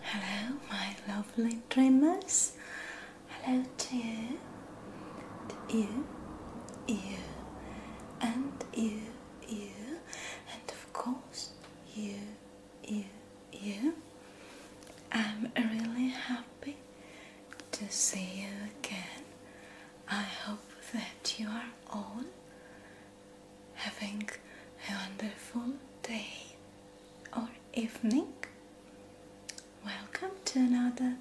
Hello, my lovely dreamers. Hello to you, to you, you, and you, you, and of course, you, you, you. I'm really happy to see you again. I hope that you are all having a wonderful day or evening. Welcome to another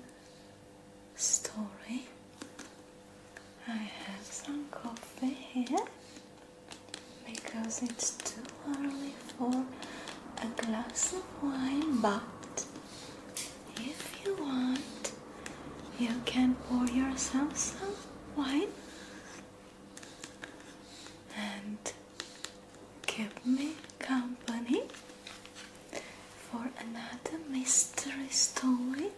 story. I have some coffee here because it's too early for a glass of wine, but if you want, you can pour yourself some wine and keep me company for another mystery story.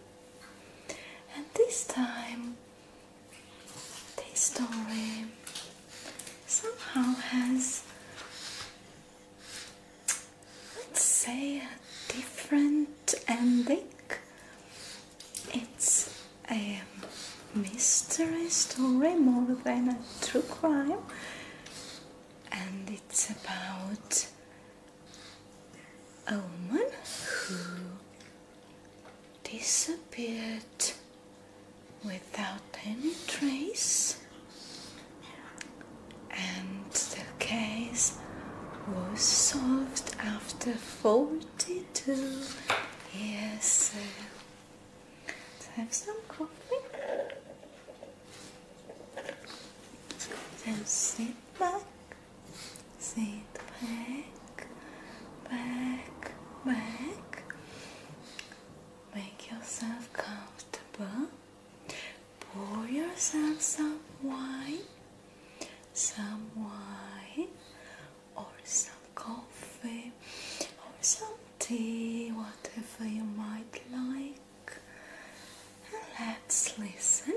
And this time, this story somehow has, let's say, a different ending it's a mystery story more than a true crime, and it's about a woman who disappeared without any trace, and the case was solved after 42 years have some coffee. and sit back, sit back, back, back. Make yourself comfortable. Pour yourself some wine, some wine or some coffee or some tea, whatever you might like. let's listen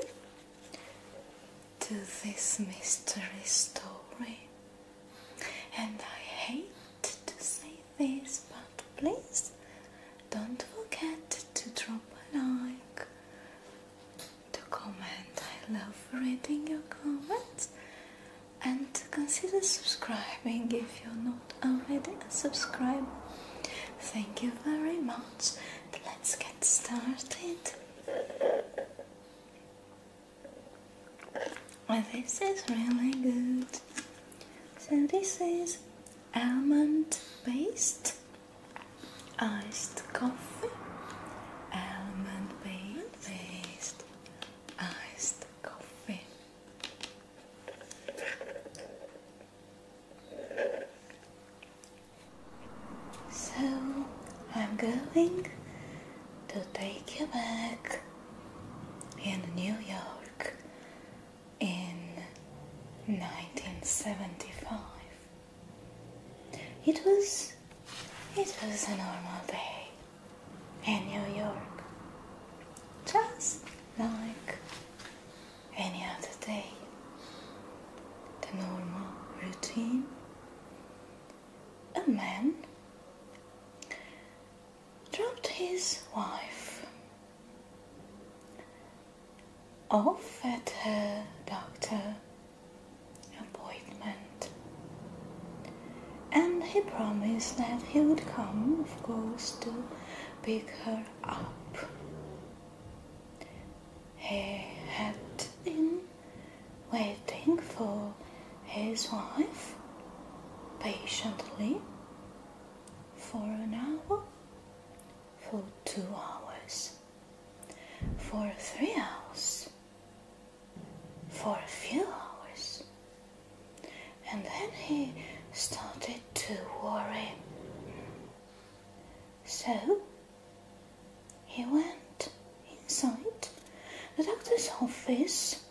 to this mystery story. And I hate to say this, but please don't forget to drop a like, to comment. I love reading your comments and consider subscribing if you're not already a subscriber. Thank you very much. Let's get started. this is really good. So this is almond paste, iced coffee, almond paste, iced coffee. So I'm going to take you back in New York in 1975. It was it was a normal day in New York, just like any other day. The normal routine. A man dropped his wife off at her doctor appointment and he promised that he would come, of course, to pick her up. He had been waiting for his wife patiently for an hour, for two hours, for three hours for a few hours. And then he started to worry. So he went inside the doctor's office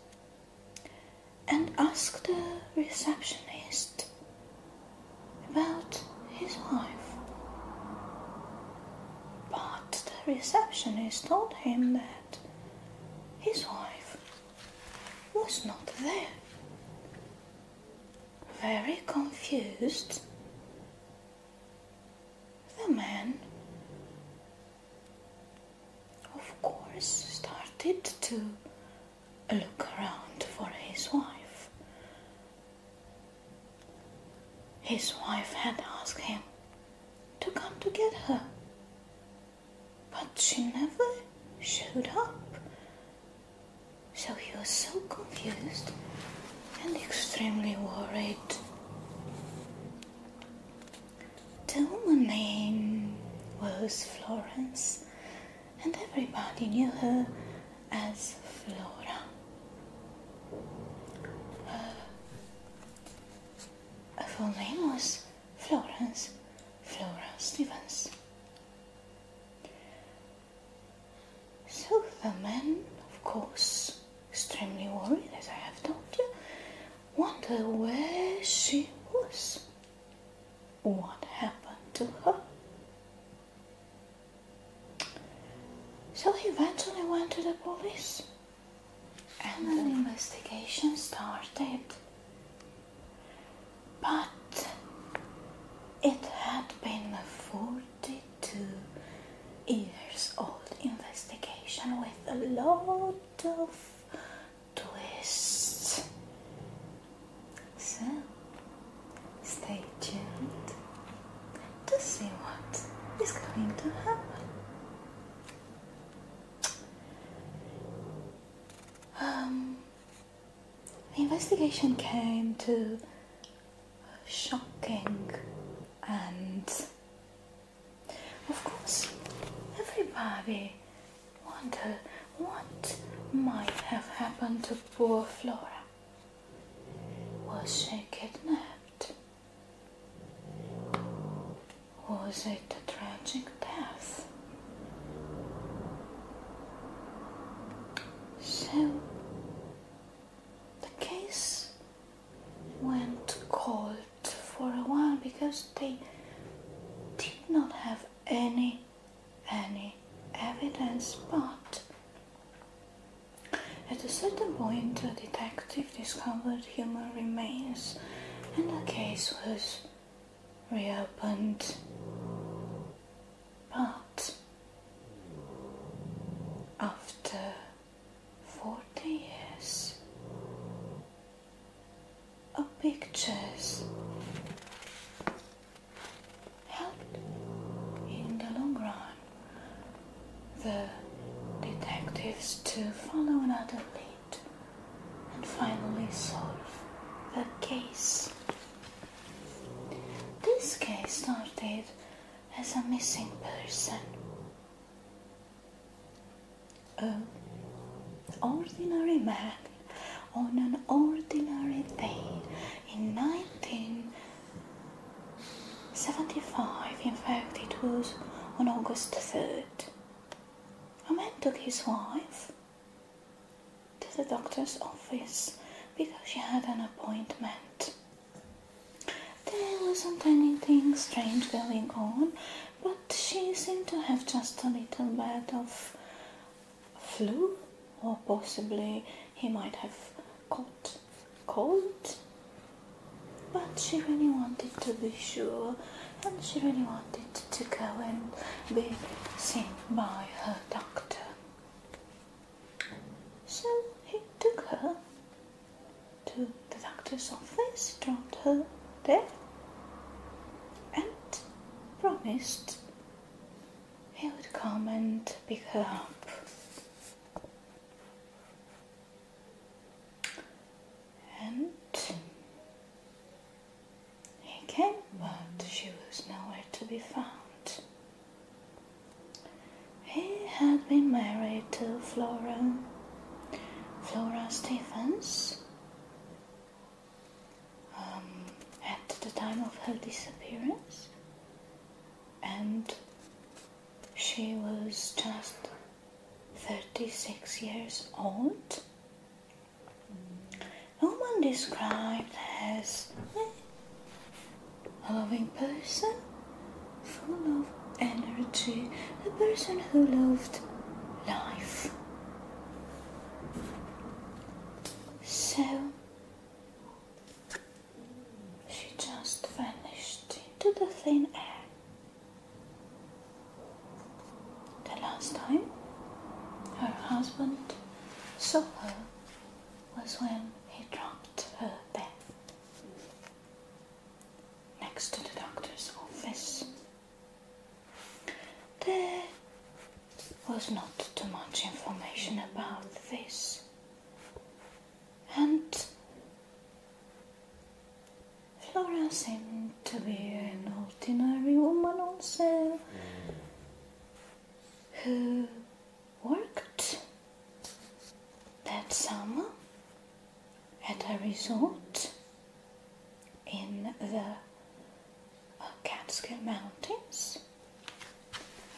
and asked the receptionist about his wife. But the receptionist told him that his wife was not there. Very confused, the man, of course, started to look around for his wife. His wife had asked him to come to get her. But she never showed up. So he was so confused and extremely worried. The woman's name was Florence, and everybody knew her as Flora. Her full name was Florence Flora Stevens. So the man, of course, extremely worried, as I have told you, wondered where she was. What happened to her? So he eventually went to the police and an investigation started. But it had been a 42 years old investigation with a lot of twists. So stay tuned to see what is going to happen. Um, the investigation came to a shocking and of course everybody wonder what might have happened to poor Flora. Was she kidnapped? Was it a tragic death? So the case went cold for a while because they did not have any any evidence but at a certain point, a detective discovered human remains and the case was reopened. But after 40 years of pictures helped in the long run the detectives to follow another lead and finally solve the case. This case started as a missing person. An ordinary man on an ordinary day in 1975, in fact, it was on August 3rd. A man took his wife to the doctor's office because she had an appointment. There wasn't anything strange going on, but she seemed to have just a little bit of flu, or possibly he might have caught cold. But she really wanted to be sure and she really wanted to go and be seen by her doctor. So he took her to the doctor's office, dropped her there, and promised he would come and pick her up and he came, but she was nowhere to be found. He had been married to Flora, Flora Stephens. Um, at the time of her disappearance, and she was just 36 years old. Woman described as a loving person, full of energy, a person who loved life. So she just vanished into the thin air. The last time her husband saw her was when he dropped her there next to the doctor's office. There was not too much information about this, and Flora seemed to be an ordinary woman also who worked that summer at a resort in the Catskill Mountains.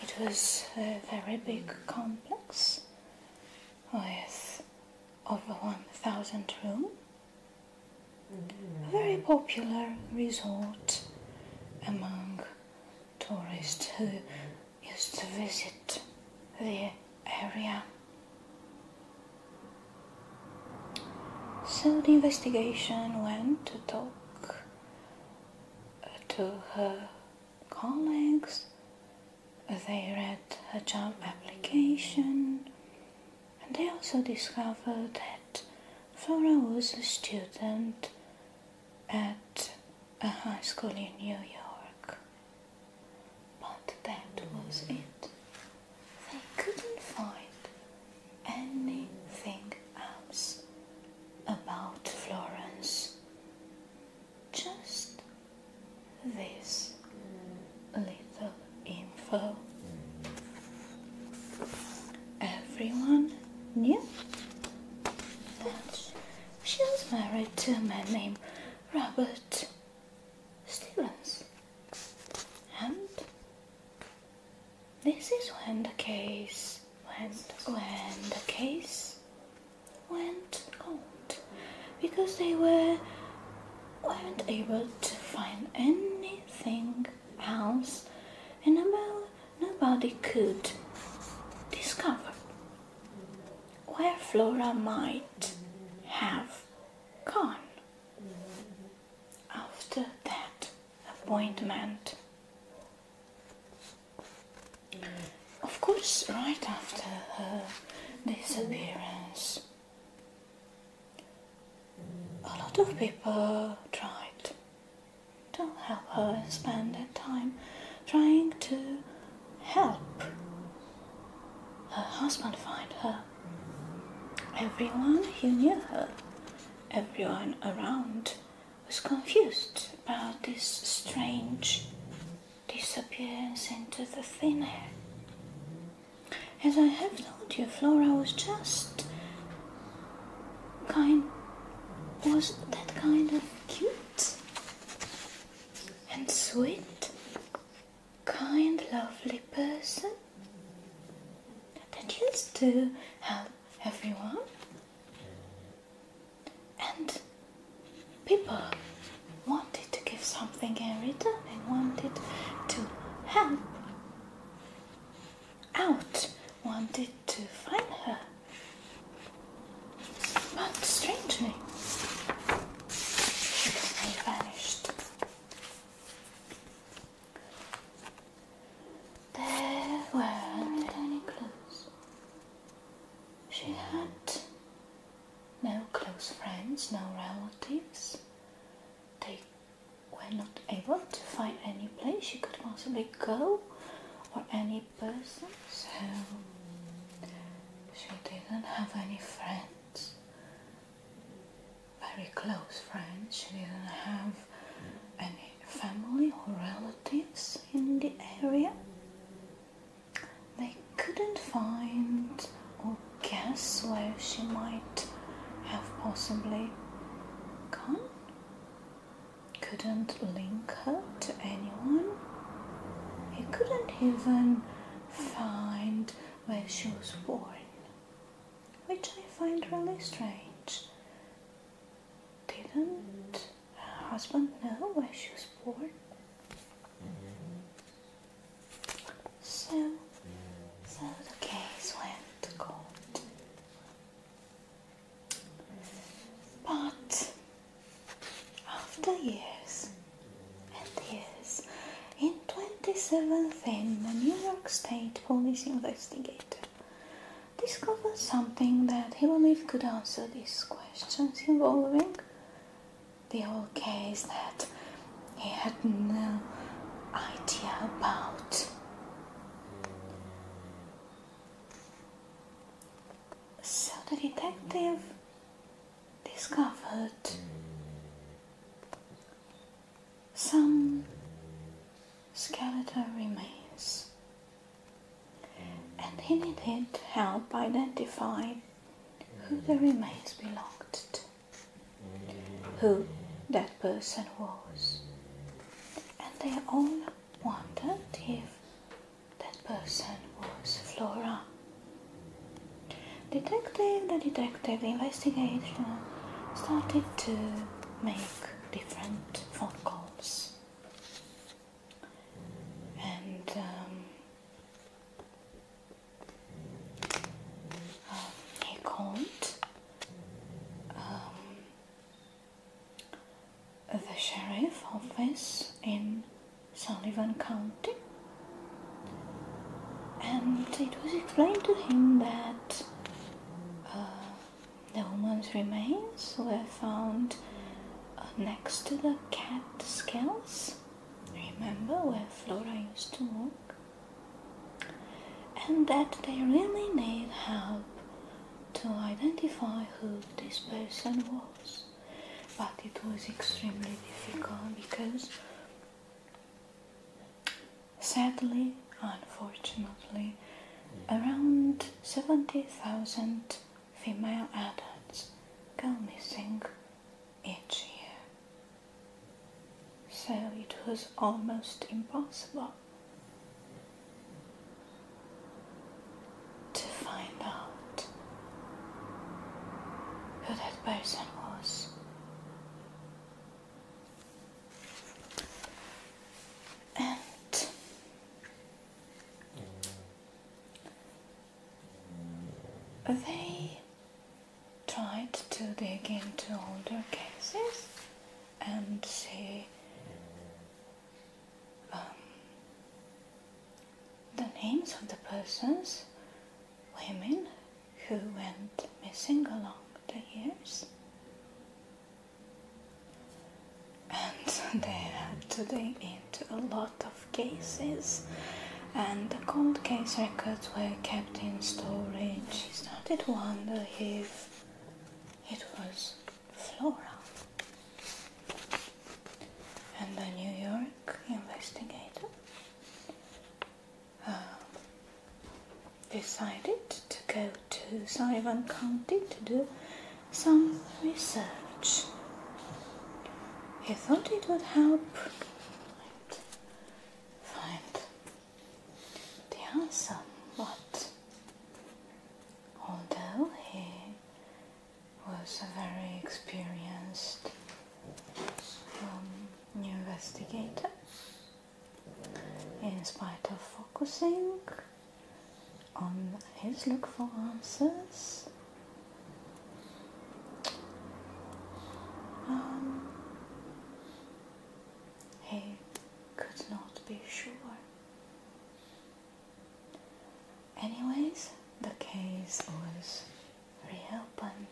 It was a very big complex with over 1,000 rooms a very popular resort among tourists who used to visit the area. So the investigation went to talk uh, to her colleagues. They read her job application and they also discovered that Flora was a student at a high school in New York. But that was it. They couldn't find anything else about Florence. Just this little info. Everyone knew that she was married to a man named Robert Stevens. And this is when the case went, when the case went cold because they were weren't able to find any Thing else, and about nobody could discover where Flora might have gone after that appointment. Of course, right after her disappearance, a lot of people tried to help her spend their time trying to help her husband find her. Everyone who knew her, everyone around, was confused about this strange disappearance into the thin air. As I have told you, Flora was just kind was that kind of cute and sweet, kind, lovely person that used to help everyone and people wanted to give something in return They wanted to help out wanted to find her. But strangely, she vanished. There were no any clues. She had no close friends, no relatives. They were not able to find any place you could possibly go or any person, so she didn't have any friends, very close friends. She didn't have any family or relatives in the area. They couldn't find guess where she might have possibly gone? Couldn't link her to anyone. He couldn't even find where she was born, which I find really strange. Didn't her husband know where she was born? So, so the case went to court. But after years and years, in 2017, a New York State police investigator discovered something that he believed could answer these questions involving the old case that he had no idea about. So the detective discovered some skeletal remains and he needed help identifying who the remains belonged to who that person was. And they all wondered if that person was Flora. Detective, the detective investigation started to make different phone calls. And um, he called um, the sheriff office in Sullivan County, and it was explained to him that uh, the woman's remains were found uh, next to the cat scales. Remember where Flora used to work and that they really need help to identify who this person was. But it was extremely difficult because, sadly, unfortunately, around 70,000 female adults go missing each year. So it was almost impossible to find out who that person was. And they tried to dig into older cases and see um, the names of the persons, women, who went missing along the years. And they had to dig into a lot of cases, and the cold case records were kept in storage. Is started to wonder if it was Flora? And the New York investigator uh, decided to go to Sullivan County to do some research. He thought it would help find the answer, but although he was a very experienced um, investigator, in spite of focusing on his look for answers, um, he could not be sure. Anyways, the case was reopened.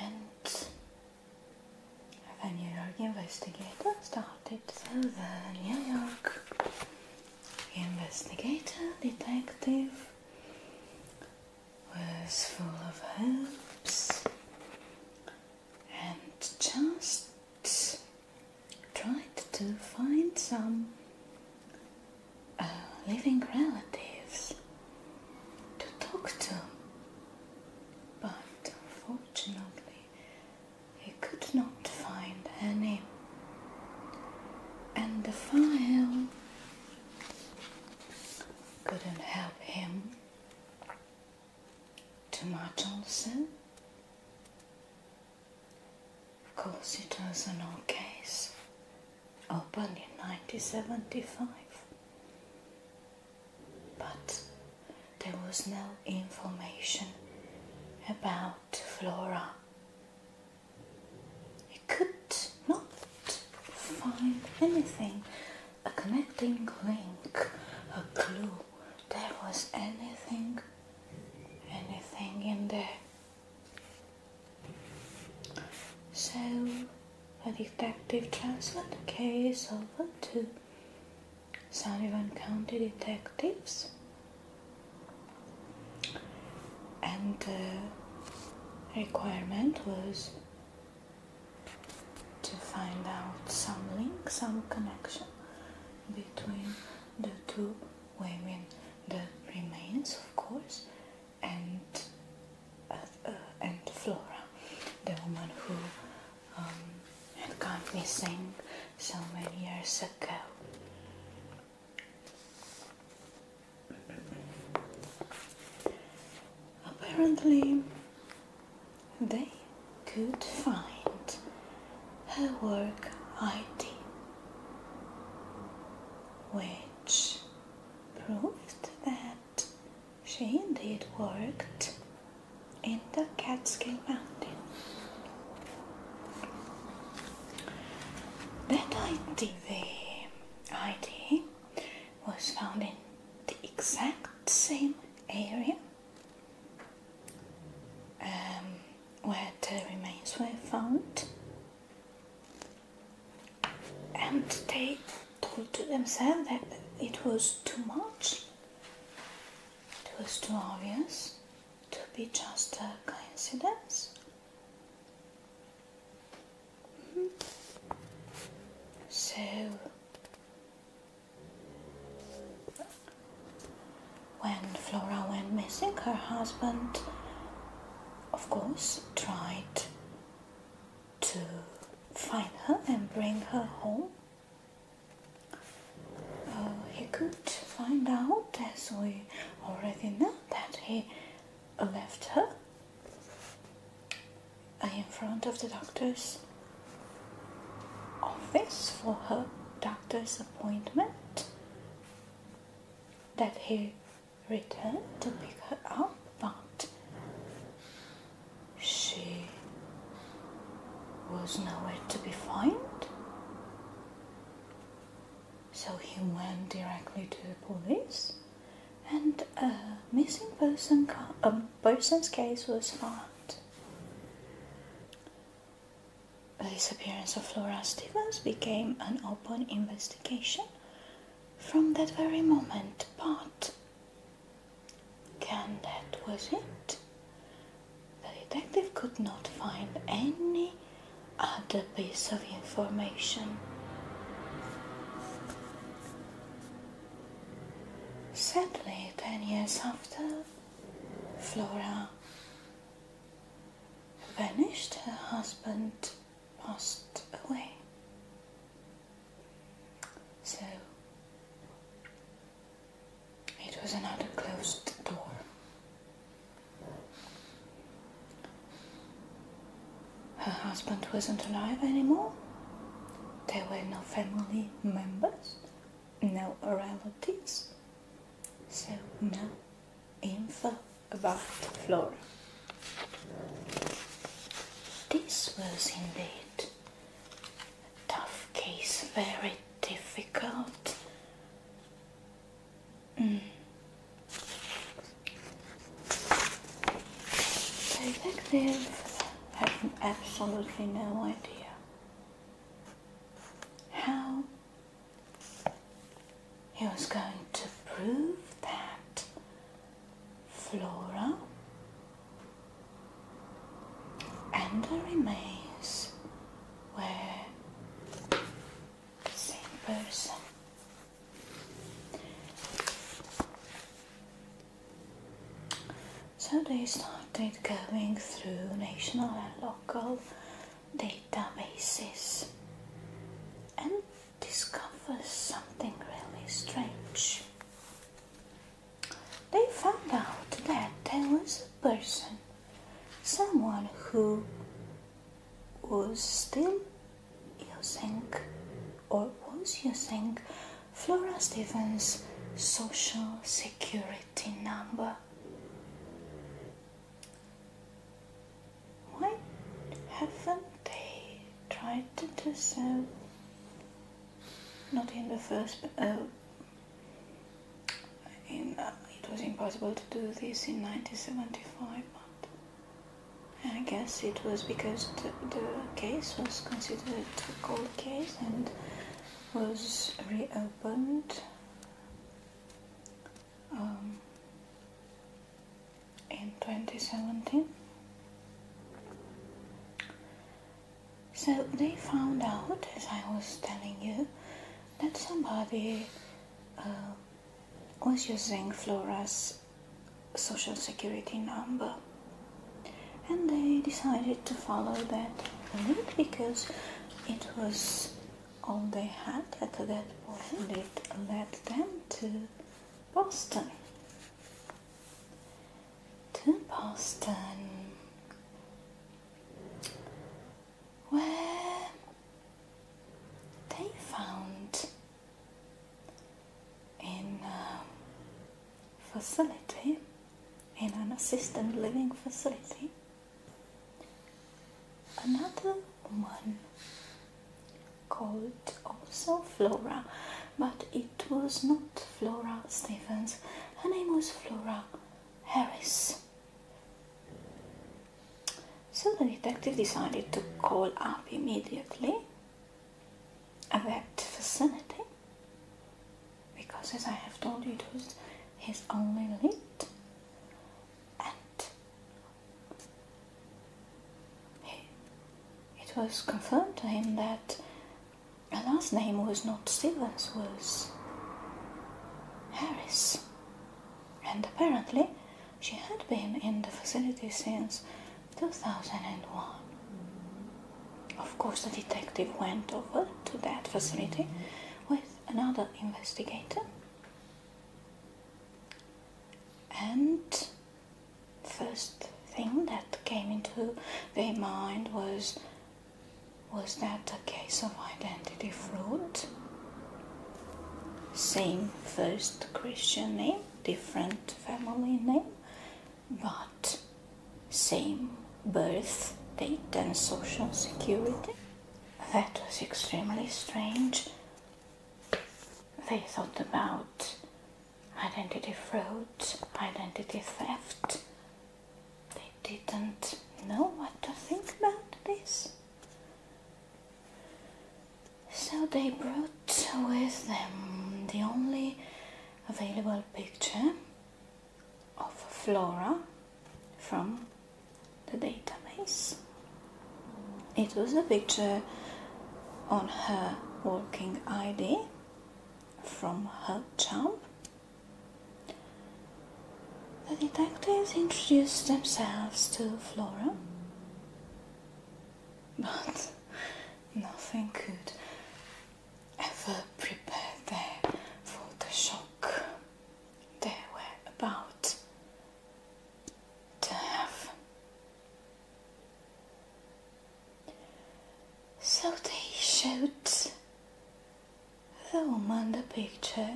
And the New York investigator started. So the New York investigator, detective, was full of hopes and just tried to find some uh, living relatives to talk to. But unfortunately, he could not find any. And the file couldn't help him too much also of course it was an old case opened in 1975 but there was no information about flora he could not find anything a connecting link, a clue. There was anything, anything in there. So a detective transferred the case over to Sullivan County detectives and the requirement was to find out some link, some connection between the two women, the remains, of course, and uh, uh, and Flora, the woman who um, had gone missing so many years ago. Apparently, they could find her work ID, which proved that she indeed worked in the Catskill Mountain. That ID, the ID was found in the exact same area um, where the remains were found and they told to themselves that it was too much it was too obvious to be just a coincidence so, when Flora went missing, her husband, of course, tried to find her and bring her home. Uh, he could find out, as we already know, that he left her I am in front of the doctor's office for her doctor's appointment that he returned to pick her up but she was nowhere to be found so he went directly to the police and a missing person a person's case was found. The disappearance of Flora Stevens became an open investigation from that very moment, but can that was it? The detective could not find any other piece of information. Sadly, ten years after, Flora vanished, her husband passed away. So it was another closed door. Her husband wasn't alive anymore. There were no family members, no relatives, so no info about Flora. This was indeed a tough case, very difficult. Mm. They think they have absolutely no idea how he was going to prove that Flora and the remains were the same person. So they started going through national and local databases and discovered something really strange. They found out that there was a person, someone who was still using or was using Flora Stevens' social security number. Why haven't they tried to do so? Not in the first, uh, in, uh, it was impossible to do this in 1975, but I guess it was because the case was considered cold case and was reopened um, in 2017. So they found out, as I was telling you, that somebody uh, was using Flora's social security number and they decided to follow that lead because it was all they had at that point it led them to Boston to Boston where they found in um, facility, in an assisted living facility. Another one called also Flora, but it was not Flora Stevens, her name was Flora Harris. So the detective decided to call up immediately at that facility, because as I have told you it was his only lead and it was confirmed to him that her last name was not Stevens was Harris and apparently she had been in the facility since 2001. Of course, the detective went over to that facility with another investigator and first thing that came into their mind was was that a case of identity fraud same first christian name different family name but same birth date and social security. That was extremely strange. They thought about identity fraud, identity theft. They didn't know what to think about this. So they brought with them the only available picture of flora from the database. It was a picture on her working ID from her job. The detectives introduced themselves to Flora, but nothing could ever prepared there for the shock. They were about to have. So they showed the woman the picture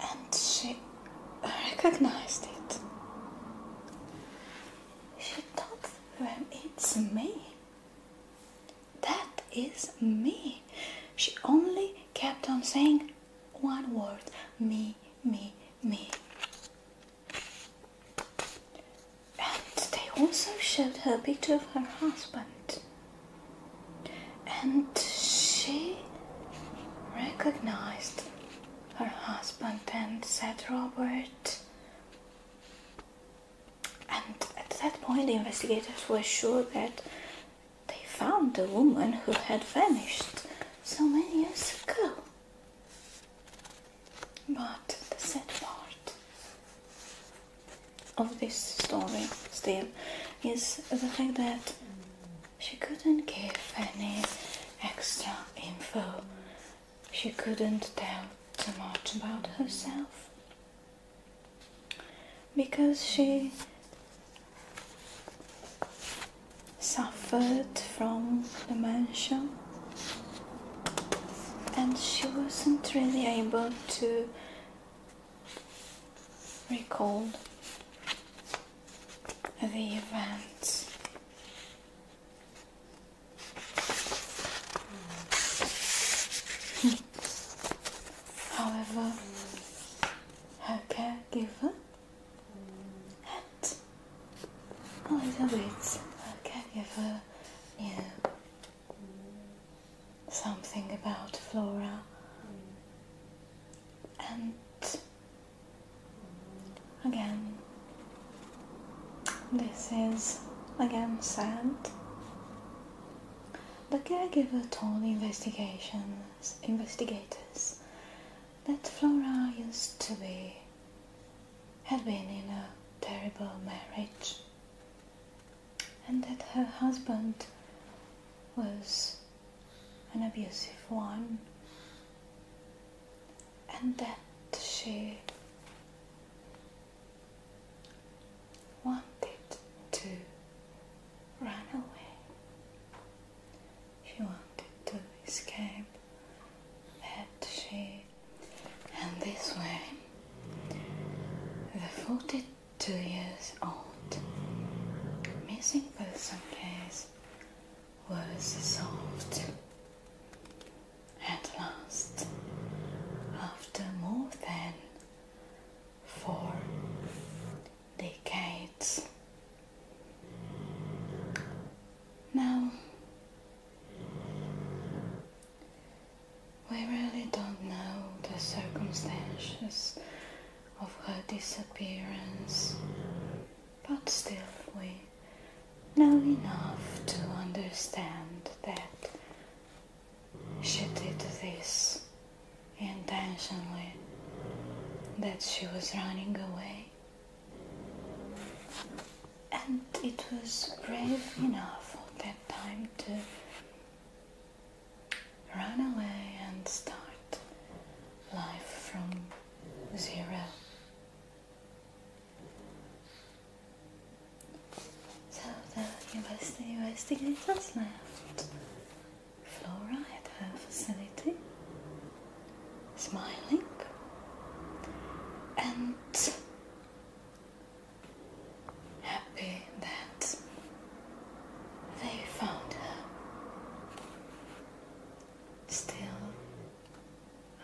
and she recognized it. She thought it's me. That is me. She only kept on saying one word me, me, me. And they also showed her a picture of her husband. And she recognized her husband and said, Robert, and at that point, the investigators were sure that they found the woman who had vanished so many years ago. But the sad part of this story still is the fact that she couldn't give any extra info she couldn't tell too much about herself because she suffered from dementia and she wasn't really able to recall the events However, her caregiver a little bit her caregiver knew something about Flora and again. This is again sad. The caregiver told investigations investigators that Flora used to be had been in a terrible marriage and that her husband was an abusive one and then she wanted to run away. She wanted to escape that she and this way the forty two years old missing person case was solved. At last, after more than four decades. Now, we really don't know the circumstances of her disappearance, but still we now enough to understand that she did this intentionally, that she was running away. And it was brave enough at that time to run away and start life from zero. So the investigators left Flora at her facility, smiling, and happy that they found her. Still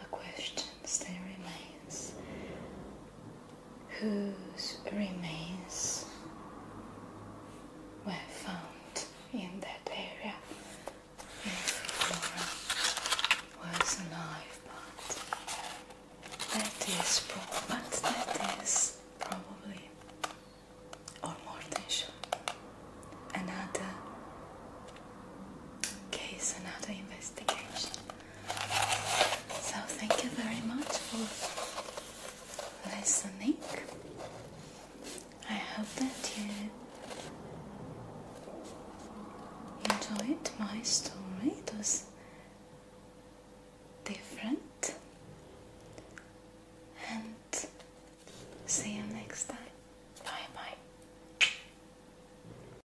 a question still remains. Whose remains were found in that area? If Flora was alive, but that is probably, or more than sure, another case, another investigation. So thank you very much for listening. I hope that you enjoyed my story. was different. And see you next time. Bye bye.